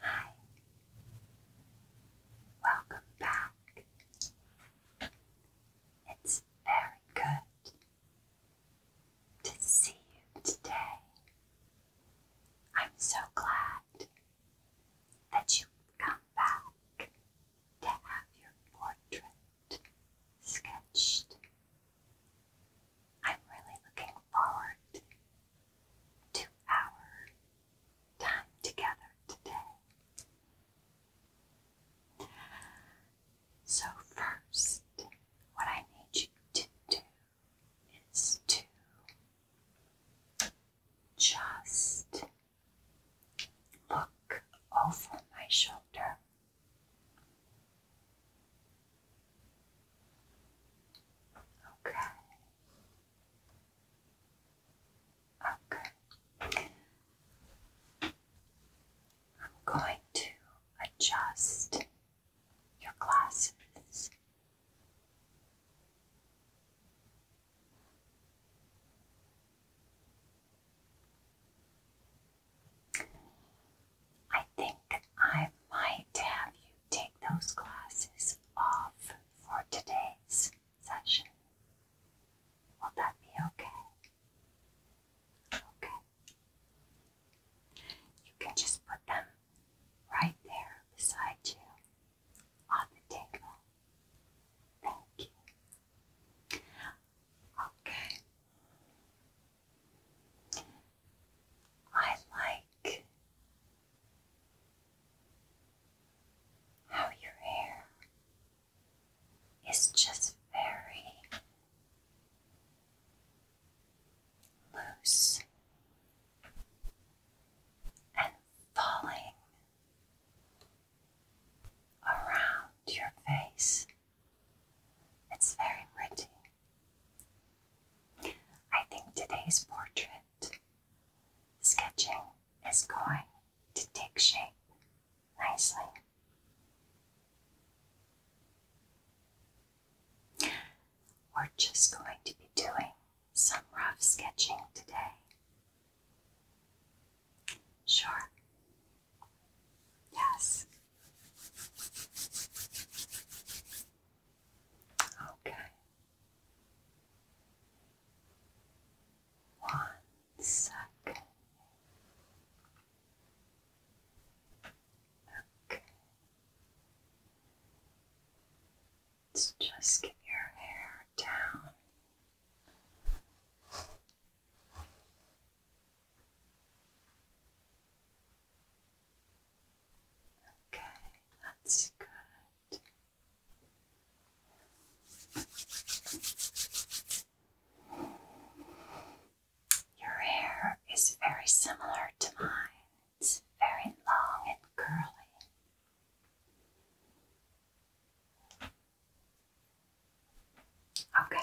Hi. Welcome back. It's very good to see you today. I'm so glad that, you come back to have your portrait sketched. I'm really looking forward to our time together today. So, first, what I need you to do is to just look over my shoulder. Okay. Okay. I'm going to adjust your glasses I think I might have you take those glasses off for today's session. Will that be okay? Okay. You can just put them right there beside you on the table. Thank you. Okay. I like how your hair is just very loose and falling around your face. It's very pretty. I think today's portrait sketching is going to take shape nicely. We're just going to be doing some rough sketching today? Sure. Yes. Okay. One second. Okay. So just get your hair down. Okay, that's good. Your hair is very similar to mine. It's very long and curly. Okay.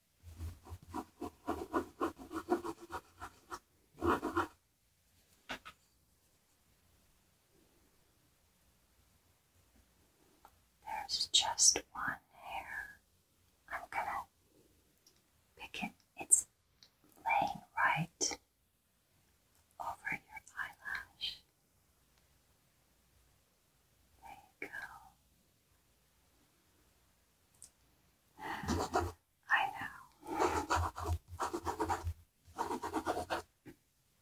There's just one hair. I'm gonna pick it. It's laying right over your eyelash. There you go. I know.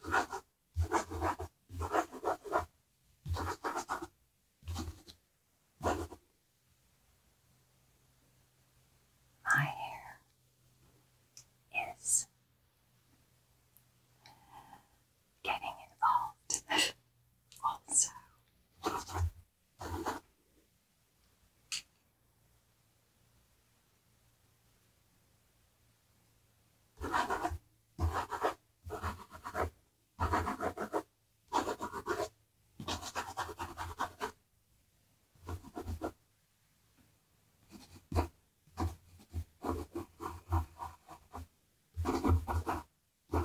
My hair is getting involved also. Wow,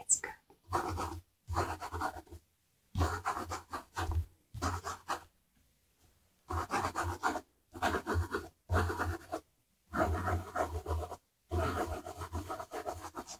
it's good.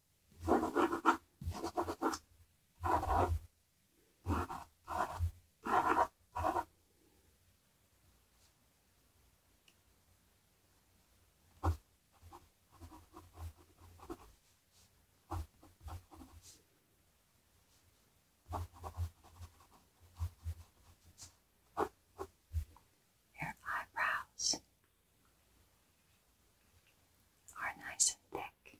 Your eyebrows are nice and thick.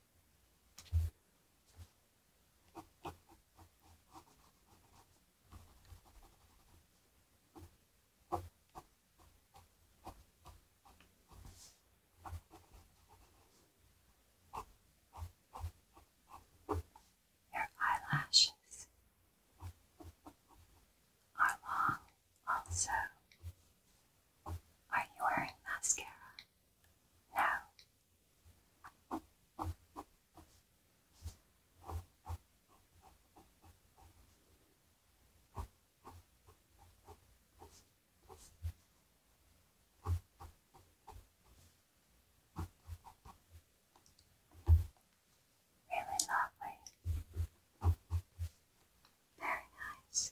Your eyelashes are long also. Are you wearing mascara? now. Really lovely. Very nice.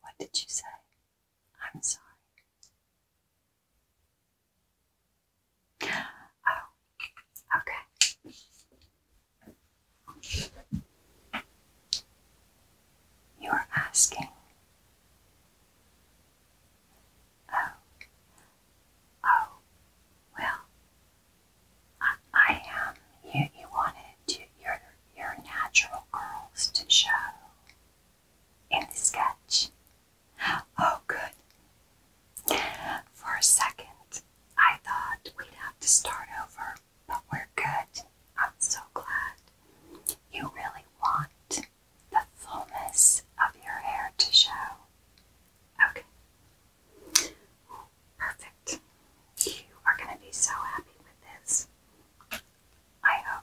What did you say? I'm sorry. Oh, okay. You are asking. Oh, oh, well, I, I am. You, you wanted your your natural curls to show in the sketch. Oh, good. For a second, I thought we'd have to start over, but we're good. I'm so glad. You really want the fullness of your hair to show. Okay. Perfect. You are going to be so happy with this. I hope.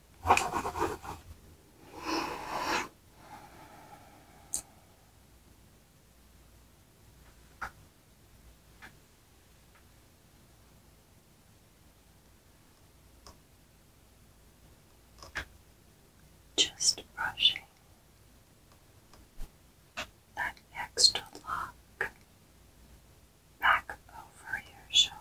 Just brushing that extra lock back over your shoulder.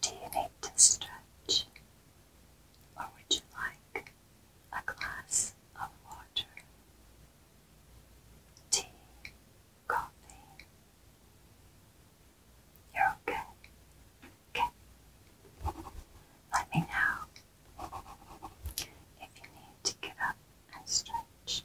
Do you need to stretch? Or would you like a glass of water? Tea, coffee, you're okay. Okay. Let me know if you need to get up and stretch.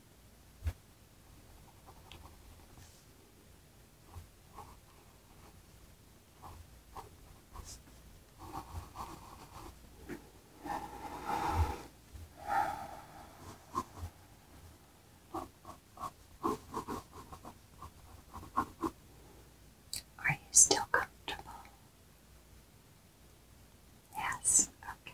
Are you still comfortable? Yes, okay.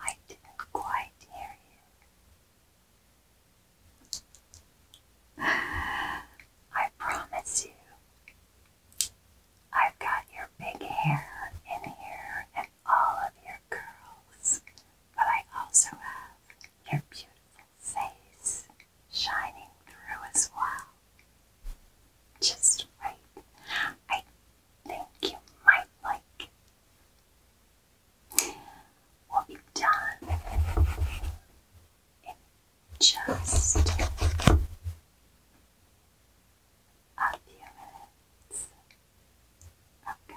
I didn't quite hear you. I promise you, I've got your big hair in here and all of your curls, but I also have your beautiful face shining through as well. Just wait. I think you might like will be done in just a few minutes. Okay.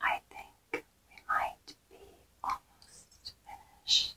I think we might be almost finished.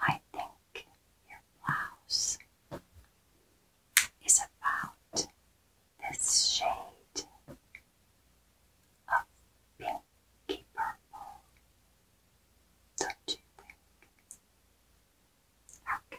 I think your blouse is about this shade of pinky purple, don't you think? Okay.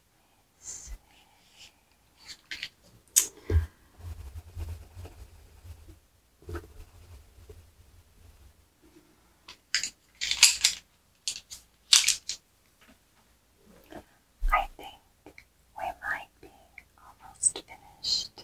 I think we might be almost finished.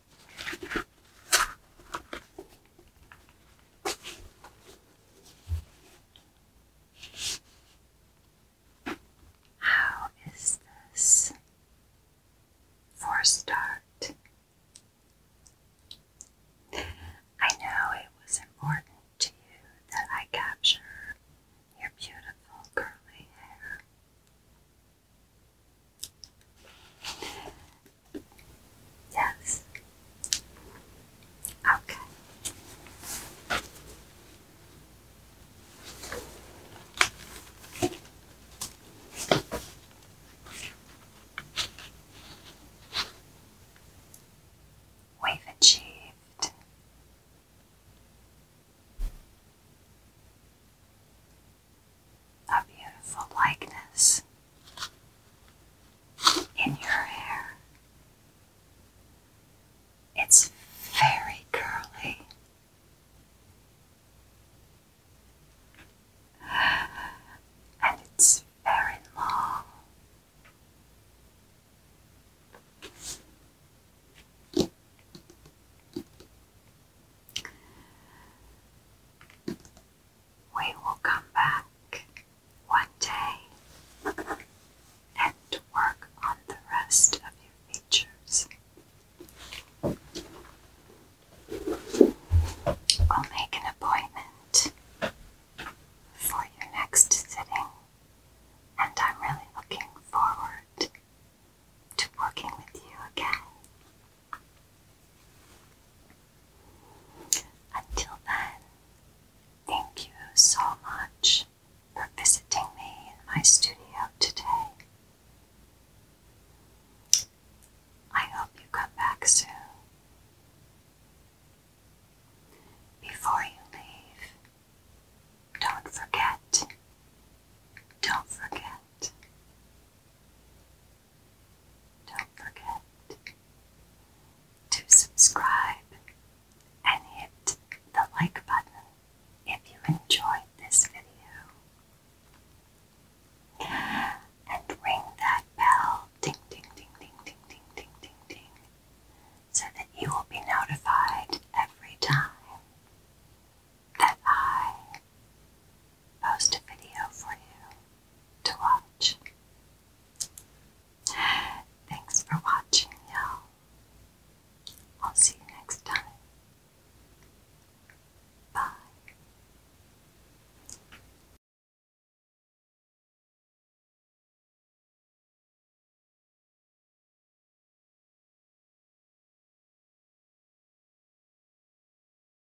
How is this for start? I know it was important to you that I capture your beautiful curly hair. Yes. Okay. We've achieved a beautiful likeness in your hair. It's very curly. And it's very long. We will come back one day and work on the rest of your features. I'll make an appointment for your next sitting, and I'm really looking forward to working with you again. Until then, thank you so much for visiting me in my studio today. I hope you come back soon. Before you leave, don't forget, don't forget, don't forget to subscribe and hit the like button if you enjoyed this video. And ring that bell ding ding ding ding ding ding ding ding so that you will be notified every time that I post a video for you to watch. Thanks for watching, y'all. I'll see you next time. Bye.